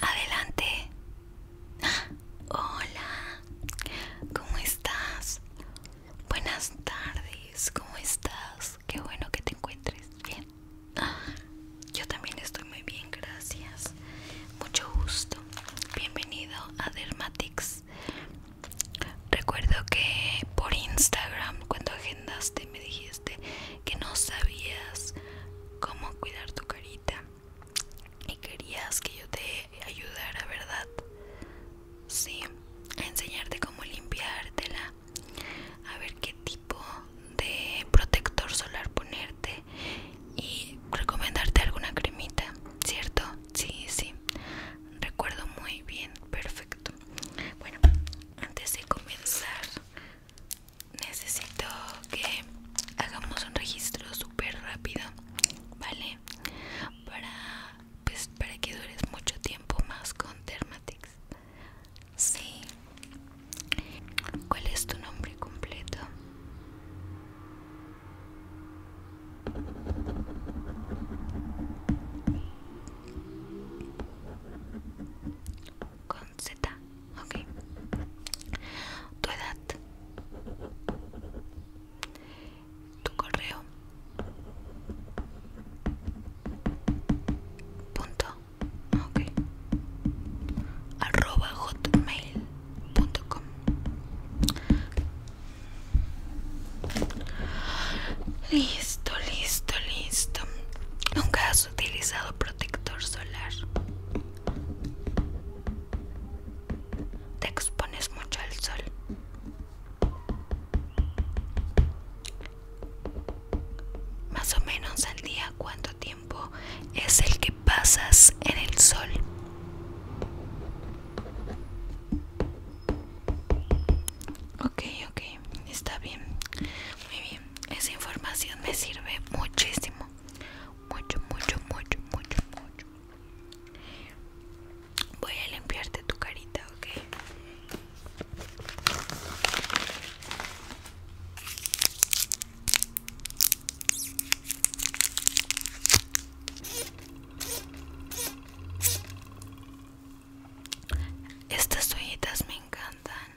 Adelante. Hola. ¿Cómo estás? Buenas tardes. ¿Cómo estás? Qué bueno que te encuentres bien. Yo también estoy muy bien, gracias. Mucho gusto bienvenido a Dermatics. Recuerdo que por Instagram cuando agendaste me dijiste que no sabías cómo cuidar tu carita y querías que yo te ayudara, ¿verdad? Sí, a enseñarte cómo limpiártela, a ver qué tipo de protector solar ponerte y recomendarte alguna cremita, ¿cierto? Sí, sí, recuerdo muy bien, perfecto. Bueno, antes de comenzar, necesito que hagamos un registro súper rápido, ¿vale? Para, pues, para que dures mucho tiempo más con Dermatix. Sí. ¿Cuál es tu nombre completo? Con Z, ok. Tu edad. Tu correo. Punto. Ok arroba hotmail.com Listo, listo, listo. Nunca has utilizado protector solar. Te expones mucho al sol. Más o menos al día, ¿cuánto tiempo? es el que pasas en el sol. Ok, ok, está bien. Muy bien, esa información me sirve muchísimo. Mucho, mucho, mucho, mucho, mucho. Voy a limpiarte tu carita, ok. Estas toallitas me encantan.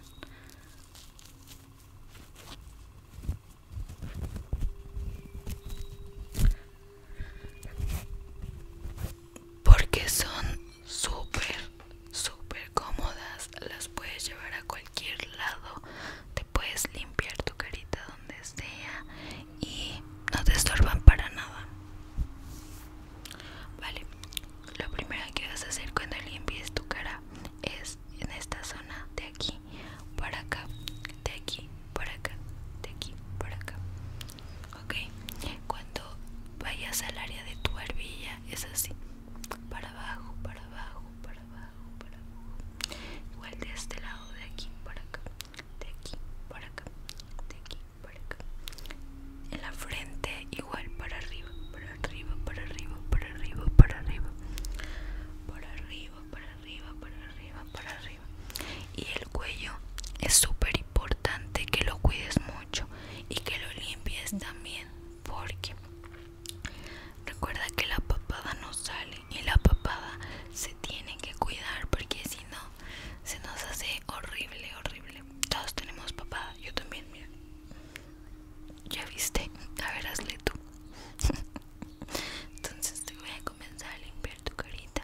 Porque son súper, súper cómodas. Las puedes llevar a cualquier cualquier lado, te puedes limpiar tu carita donde sea y no te estorban para nada. Vale, lo primero que vas a hacer cuando limpies tu cara es en esta zona de aquí para acá, de aquí para acá, de aquí para acá. Ok, cuando vayas al área de tu barbilla es así para abajo, para abajo, para abajo, para abajo. Igual de este lado, de aquí para acá, de aquí para acá, de aquí para acá. En la frente, igual para arriba, para arriba, para arriba, para arriba, para arriba. Para arriba, para arriba, para arriba, para arriba. Y el cuello es súper importante que lo cuides mucho y que lo limpies también porque Recuerda que la papada no sale y la papada se tiene que cuidar porque si no se nos hace horrible, horrible. Todos tenemos papada, yo también, Ya viste, a ver hazle tú. Entonces te voy a comenzar a limpiar tu carita.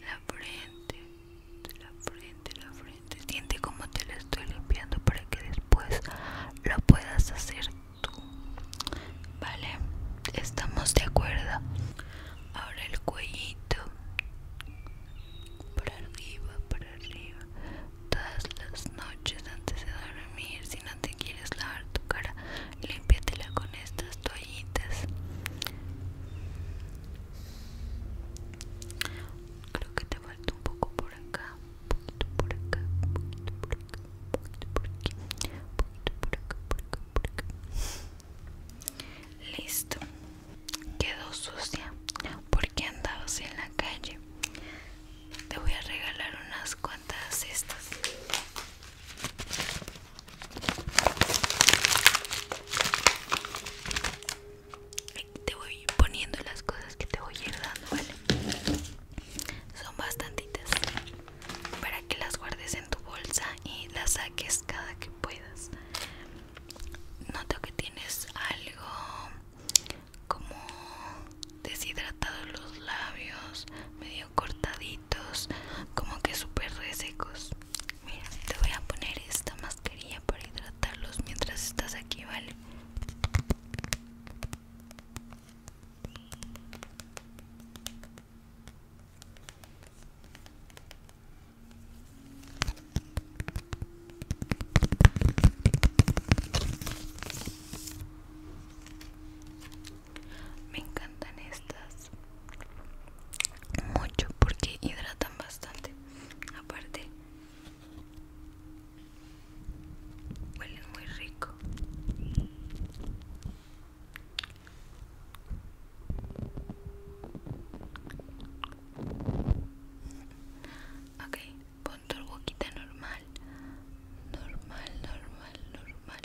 La frente, la frente, la frente. Siente como te la estoy limpiando para que después lo puedas hacer tú. Vale, estamos de acuerdo. Ahora el cuellito. Para arriba, para arriba todas las noches antes de dormir. Si no te quieres lavar tu cara, limpiatela con estas toallitas. Creo que te falta un poco por acá, un poquito por acá, un poquito por acá, un poquito por aquí, un poquito por acá, por acá, por acá. Listo quedó sucia porque así en la calle. Te voy a regalar unas cuantas estas Te voy poniendo las cosas que te voy a ir dando, ¿vale? Son bastantitas para que las guardes en tu bolsa y las saques cada que puedas noto que tienes algo como deshidratados los labios, medio cortaditos, como que súper resecos. Mira, te voy a poner esta mascarilla para hidratarlos mientras estás aquí, ¿vale? Me encantan estas mucho porque hidratan bastante. Aparte, huelen muy rico. Ok, pon tu boquita normal. Normal, normal, normal.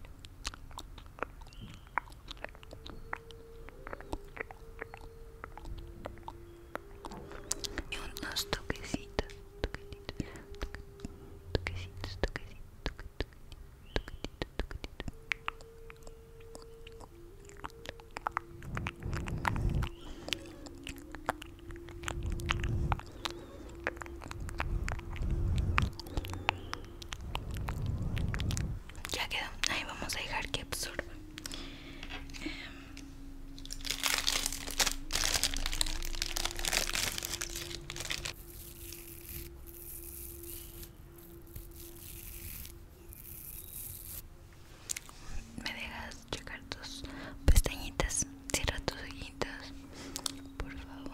Y unos toquecitos, toquecitos, toquecitos, toquecitos, toquecitos, toquecitos, ya quedó, ahí vamos a dejar que absorba. Me dejas checar tus pestañitas. Cierra tus ojitos, por favor.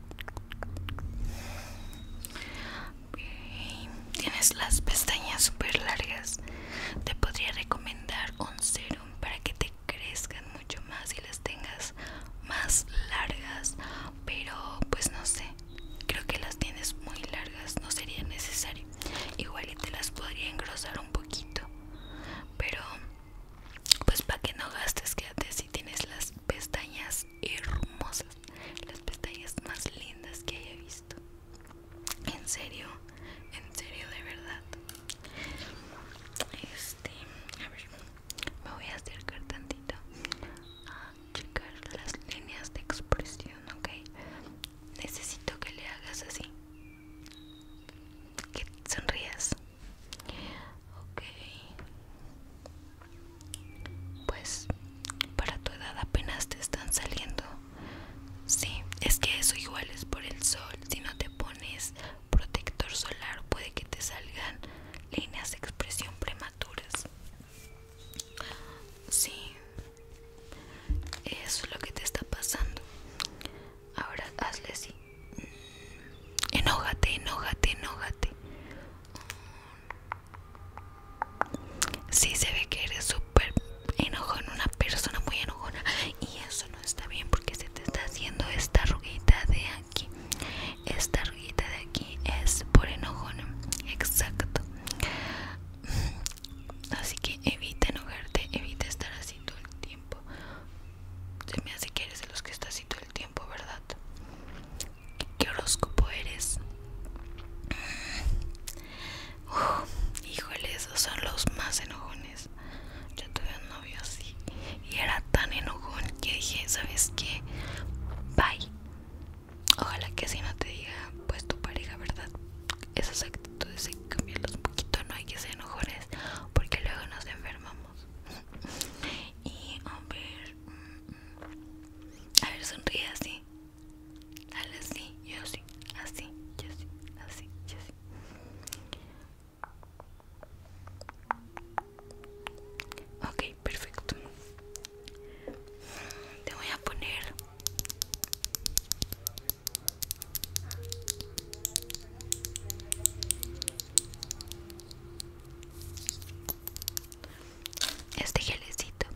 Tienes las pestañas super largas. Te podría recomendar un serum para que te crezcan mucho más y las tengas más largas. Pero pues no sé. Creo que las tienes muy largas. No sería necesario. Igual y te las podría engrosar un poquito. Pero pues para que no gastes, quédate si tienes las pestañas hermosas, las pestañas más lindas que haya visto. En serio, en serio, de verdad. Este, a ver, me voy a acercar tantito a checar las líneas de expresión, ¿ok? Necesito que le hagas así, que sonrías. Ok. Pues para tu edad apenas te están saliendo. Sí, es que eso igual es por el sol. Si no te pones protector solar puede que te salgan líneas de expresión prematuras. Sí, eso es lo que te está pasando. Ahora hazle así. Enojate, enojate, enojate Si se ve que eres súper enojona una persona muy enojona. Y eso no está bien porque se te está haciendo esta ruguita de aquí. Esta ruguita de aquí es por enojona. Exacto. Así que evita enojarte, evita estar así todo el tiempo. Se me hace que eres de los que está así todo el tiempo. ¿verdad? ¿Qué horóscopo eres? Mm, híjole, esos son los más enojones. Yo tuve un novio así y era tan enojón que dije, ¿sabes qué? Bye. Ojalá que así no te diga, pues tu pareja, ¿verdad? Esas actitudes hay que cambiarlas un poquito, no hay que ser enojones porque luego nos enfermamos. Y a ver. Mm, a ver, sonríe así. Dale así, yo sí, así, yo sí, así, yo sí. okay perfecto. Te voy a poner este gelecito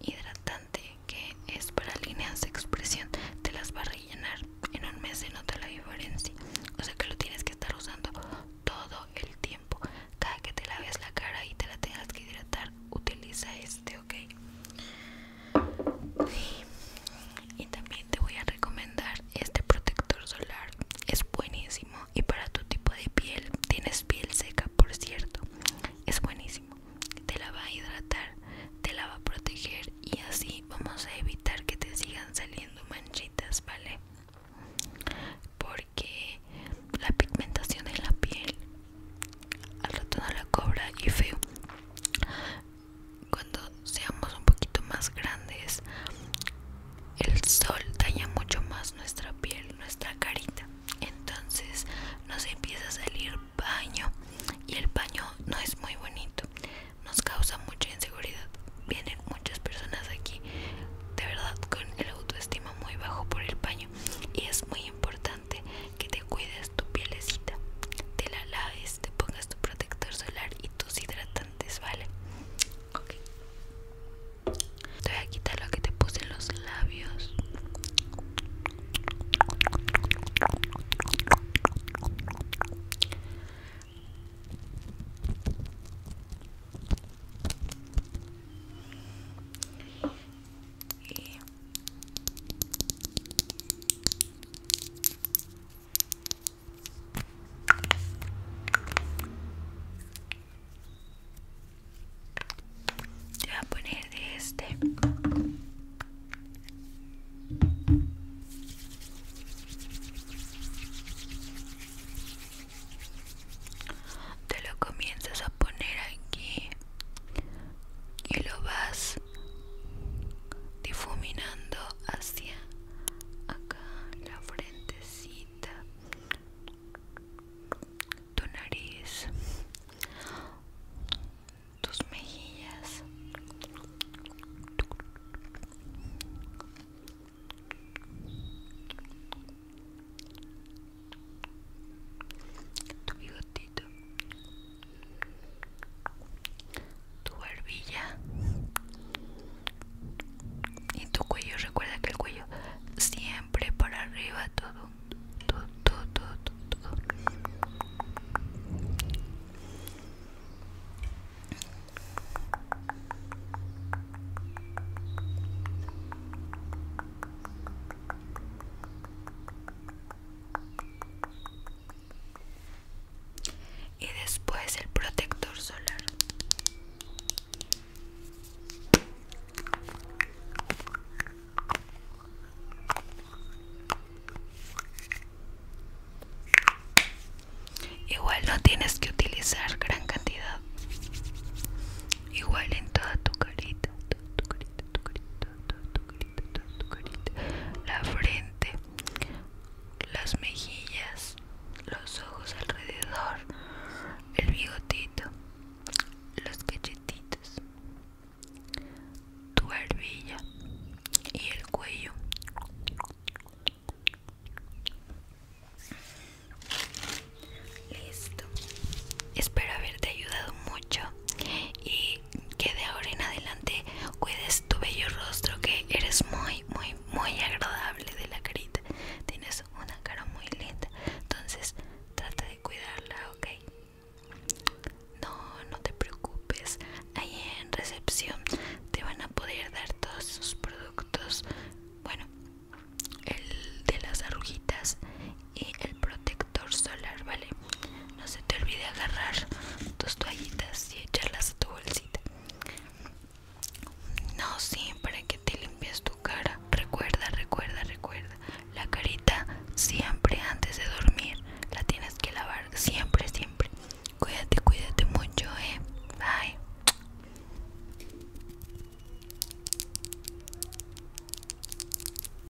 hidratante que es para líneas de expresión te las va a rellenar en un mes se nota la diferencia o sea que lo tienes que estar usando todo el tiempo cada que te laves la cara y te la tengas que hidratar utiliza este ok y también te voy a recomendar este protector solar es buenísimo y para tu tipo de piel tienes piel seca por cierto es buenísimo te la va a hidratar te la va a proteger y así vamos a evitar que te sigan saliendo manchitas vale porque la pigmentación en la piel al rato no la cobra y feo cuando seamos un poquito más grandes, el sol daña mucho más nuestra piel, nuestra carita. Entonces nos empieza a salir baño y el baño no es muy bonito. Nos causa mucha inseguridad. Vienen muchas personas aquí de verdad con el autoestima muy bajo por el baño y es muy importante que te cuides tu pielecita, te la laves, te pongas tu protector solar y tus hidratantes, ¿vale? Ok. voy a quitar lo que te puse en los labios. Te voy a poner este. Te lo comienzas a poner aquí y lo vas difuminando hacia acá la frentecita tu nariz tus mejillas tu bigotito tu barbilla y tu cuello. Recuerda que el cuello siempre para arriba, todo, todo, todo, todo, todo y después el protector solar igual no tienes que utilizar gran cantidad igual en toda tu carita la frente, las mejillas, los ojos alrededor, el bigotito, los cachetitos, tu barbilla y el cuello. Listo. Espero haberte ayudado mucho y que de ahora en adelante cuides tu bello rostro que eres muy muy muy agradable de la carita tienes una cara muy linda entonces trata de cuidarla ok no no te preocupes ahí en recepción te van a poder dar todos sus productos bueno el de las arruguitas y el protector solar, ¿vale? No se te olvide agarrar tus toallitas y echarlas a tu bolsita. No, siempre para que te limpies tu cara. Recuerda, recuerda, recuerda. La carita siempre antes de dormir la tienes que lavar. Siempre, siempre. Cuídate, cuídate mucho, eh. Bye.